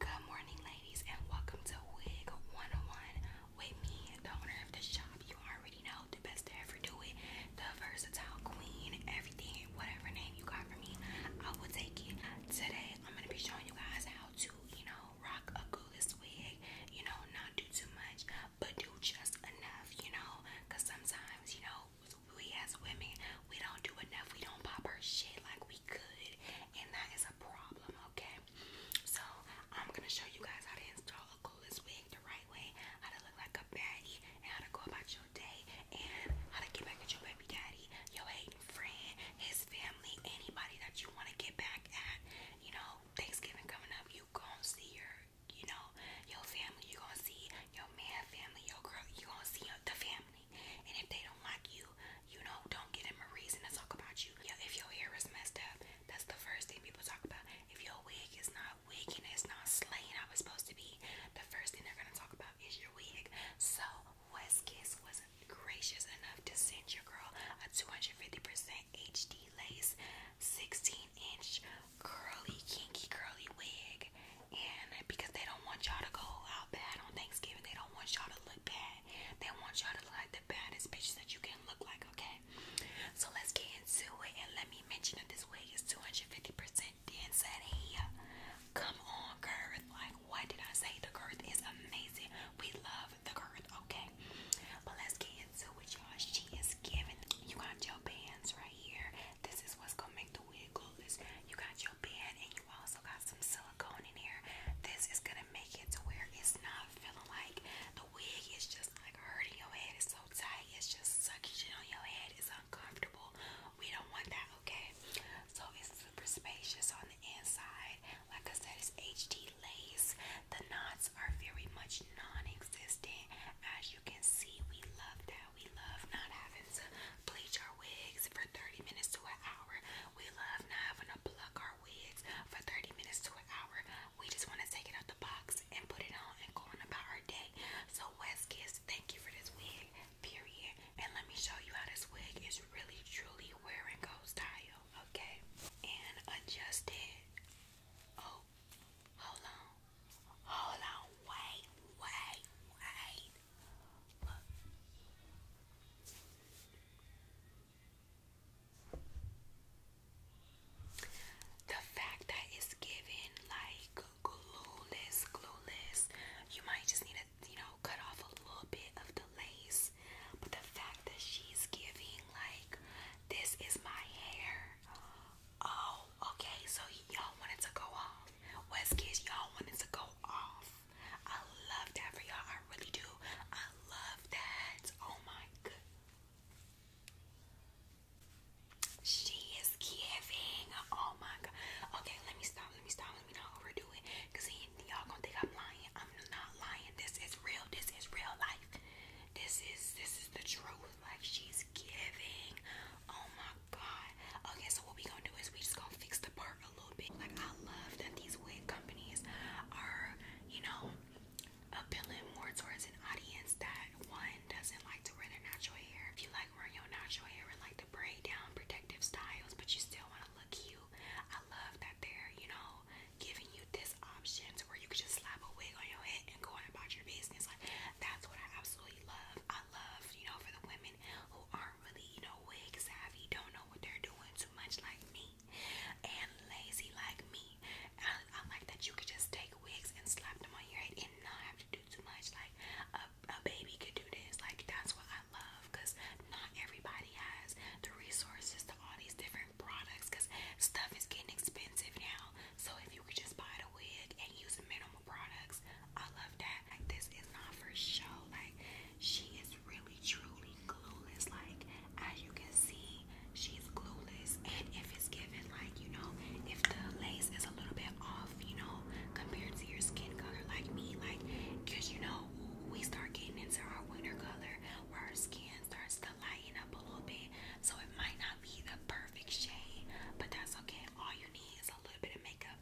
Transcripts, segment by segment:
Good morning, ladies, and welcome to Wig 101 with me, the owner of the shop. You already know the best to ever do it, the versatile queen, everything, whatever name you got for me, I will take it. Today, I'm gonna be showing you guys how to, you know, rock a coolest wig, you know, not do too much, but do just enough, you know, because sometimes, you know, we as women, we don't do enough. We don't pop our shit like we could, and that is a problem, okay? So, I'm gonna show you guys how to install a coolest wig the right way, how to look like a baddie, and how to go about your day, and how to get back at your baby daddy, your hating friend, his family, anybody that you want to get back at. You know, Thanksgiving coming up, you gonna see your, you know, your family, you gonna see your man family, your girl, you gonna see the family. And if they don't like you, you know, don't give them a reason to talk about you. if your hair is messed up, that's the first thing people talk about. If your wig is not wigging, it's not slaying I was supposed to be, the first thing they're gonna talk about is your wig. So Westkiss was gracious enough to send your girl a 250% HD lace, 16 inch curly, kinky curly wig bag. And because they don't want y'all to go out bad on Thanksgiving, they don't want y'all to look bad. They want y'all to look like the baddest bitches that you can look like, okay? So let's get into it. And let me mention that this wig is 250% dense at here. Come on, girth. Like, what did I say? The girth is amazing. We love the girth, okay? But let's get into it, y'all. She is giving. You got your bands right here. This is what's gonna make the wig glueless. You got your band and you also got some silicone in here. This is gonna make it to where it's not feeling like the wig is just like hurting your head. It's so tight. It's just sucking shit on your head. It's uncomfortable. We don't want that, okay? So it's super spacious on the inside. Like I said, it's HD lace. The knots are very much non-existent. As you can see, we love that. We love not having to bleach our wigs for 30 minutes to an hour. We love not having to pluck our wigs for 30 minutes to an hour. We just want to take it out the box and put it on and go on about our day. So West Kiss, thank you for this wig, period. And let me show you how this wig is really truly wearing, and go style, okay? And adjust it. Oh, hold on. Hold on, wait, wait, wait. The fact that it's given like glueless, glueless, you might just need to, you know, cut off a little bit of the lace. But the fact that she's giving like, this is my hair. Oh okay, so y'all wanted to go off. West Kids, y'all wanted to go off. I love that for y'all. I really do. I love that. Oh my god. She is giving. Oh my god. Okay, let me stop. Let me stop. Let me not overdo it. Cause y'all gonna think I'm lying. I'm not lying. This is real. This is real life. This is this is the truth. Like she's giving. Oh my Oh, god. Okay, so what we gonna do is we just gonna fix the part a little bit. Like I love that these wig companies are, you know, appealing more towards an audience that one doesn't like to wear their natural hair. If you like wearing your natural hair and like the braid down protective styles, but you still wanna look cute, I love that they're, you know, giving you this option to where you could just slap a wig on your head and go on about your business. Like that's what I absolutely really love. I love, you know, for the women who aren't really, you know, wig savvy, don't know what they're doing too much like me, and lazy like me. I, I like that you could just take wigs and slap them on your head and not have to do too much. Like a, a baby could do this. Like that's what I love, cause not everybody has the resources to all these different products, cause stuff is getting expensive now. So if you could just buy the wig and use minimal products. I love that. Like this is not for show. Like she is really truly glueless. Like as you can see, she's glueless. And if it's given, like you know, if the lace is a little bit off, you know, compared to your skin color, like me, like because you know we start getting into our winter color where our skin starts to lighten up a little bit. So it might not be the perfect shade, but that's okay. All you need is a little bit of makeup.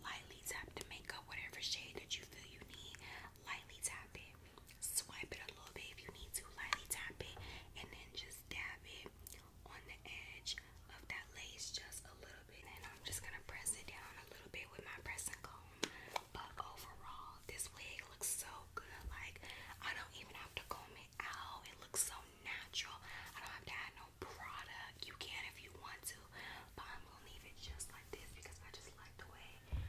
Lightly tap the makeup, whatever shade that you feel you need. Lightly tap it. Swipe it a little bit if you need to. Lightly tap it, and then just dab it on the edge of that lace just a little bit. And I'm just gonna press it down a little bit with my pressing comb. But overall, this wig looks so good. Like I don't even have to comb it out. It looks so natural. I don't have to add no product. You can if you want to, but I'm gonna leave it just like this because I just like the way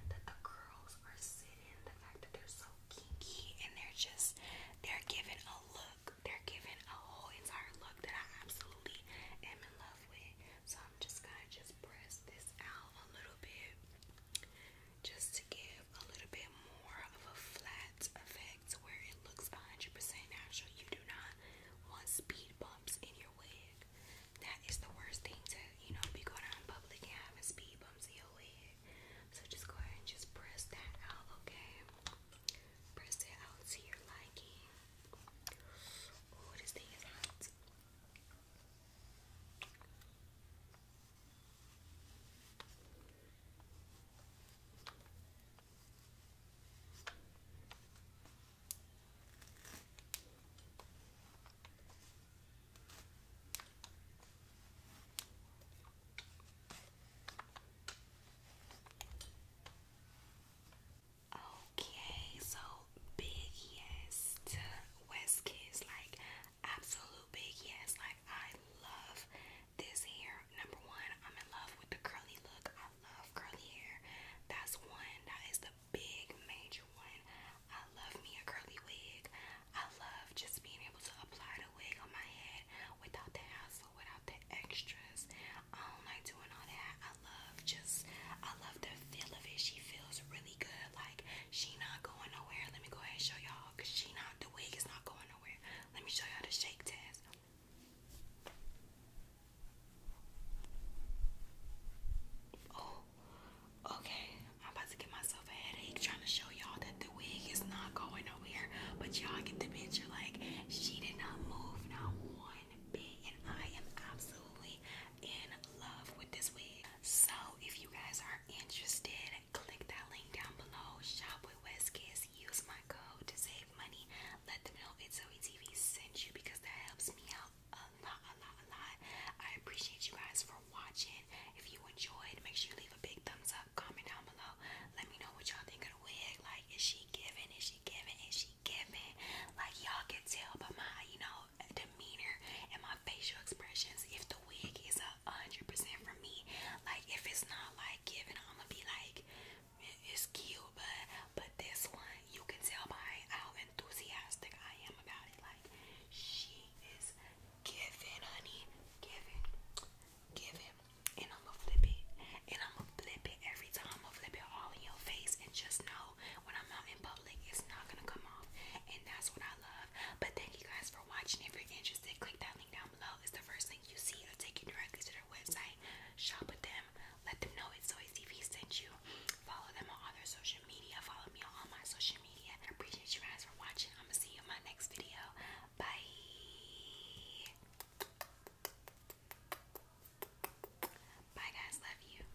the curls are sitting. The fact that they're so kinky and they're just they're giving a look. They're giving a whole entire look that I absolutely am in love with. So I'm just gonna just press this out a little bit just to give a little bit more of a flat effect where it looks 100% natural. You do not want speed bumps in your wig. That is the worst thing to, you know, be going out in public and having speed bumps in your wig. So just go ahead and just press that out, okay? Press it out to your liking. Oh, this Okay, so big yes to West Kids, like absolute big yes, like I love this hair. Number one, I'm in love with the curly look. I love curly hair. That's one. That is the big major one. I love me a curly wig. I love just being able to apply the wig on my head without the hassle, without the extras. I don't like doing all that. I love just I love the feel of it. She feels really good. Like she not going nowhere. Let me go ahead and show y'all cause she not the wig is not going nowhere. Let me show y'all the shake test. Oh, okay. I'm about to give myself a headache trying to show y'all that the wig is not going nowhere. But y'all get the picture. Like she did not move not one bit, and I am absolutely in love with this wig. So if you guys are interested click that link down below. Shop with WestKiss. Use my code to save money. Let them know it's OETV sent you because that helps me out a lot, a lot, a lot. I appreciate you guys for watching. If you enjoyed, make sure you leave a big thumbs up. Comment down below. Let me know what y'all think of the wig. Like, is she giving? Is she giving? Is she giving? Like, y'all can tell by my, you know, demeanor and my facial expressions if the wig is a hundred percent for me. Like if it's not like given, I'ma be like, it's cute, but but this one you can tell by how enthusiastic I am about it. Like she is giving, honey, giving, giving, and I'ma flip it, and I'ma flip it every time. I'ma flip it all in your face, and just know when I'm out in public, it's not gonna come off, and that's what I love. But thank you guys for watching. If you're interested, click that link down below. It's the first link you see. It'll take you directly to their website. Shop with them. Let them know it's Zoe TV sent you. Follow them on other social media. Follow me on all my social media. I appreciate you guys for watching. I'm going to see you in my next video. Bye. Bye guys, love you.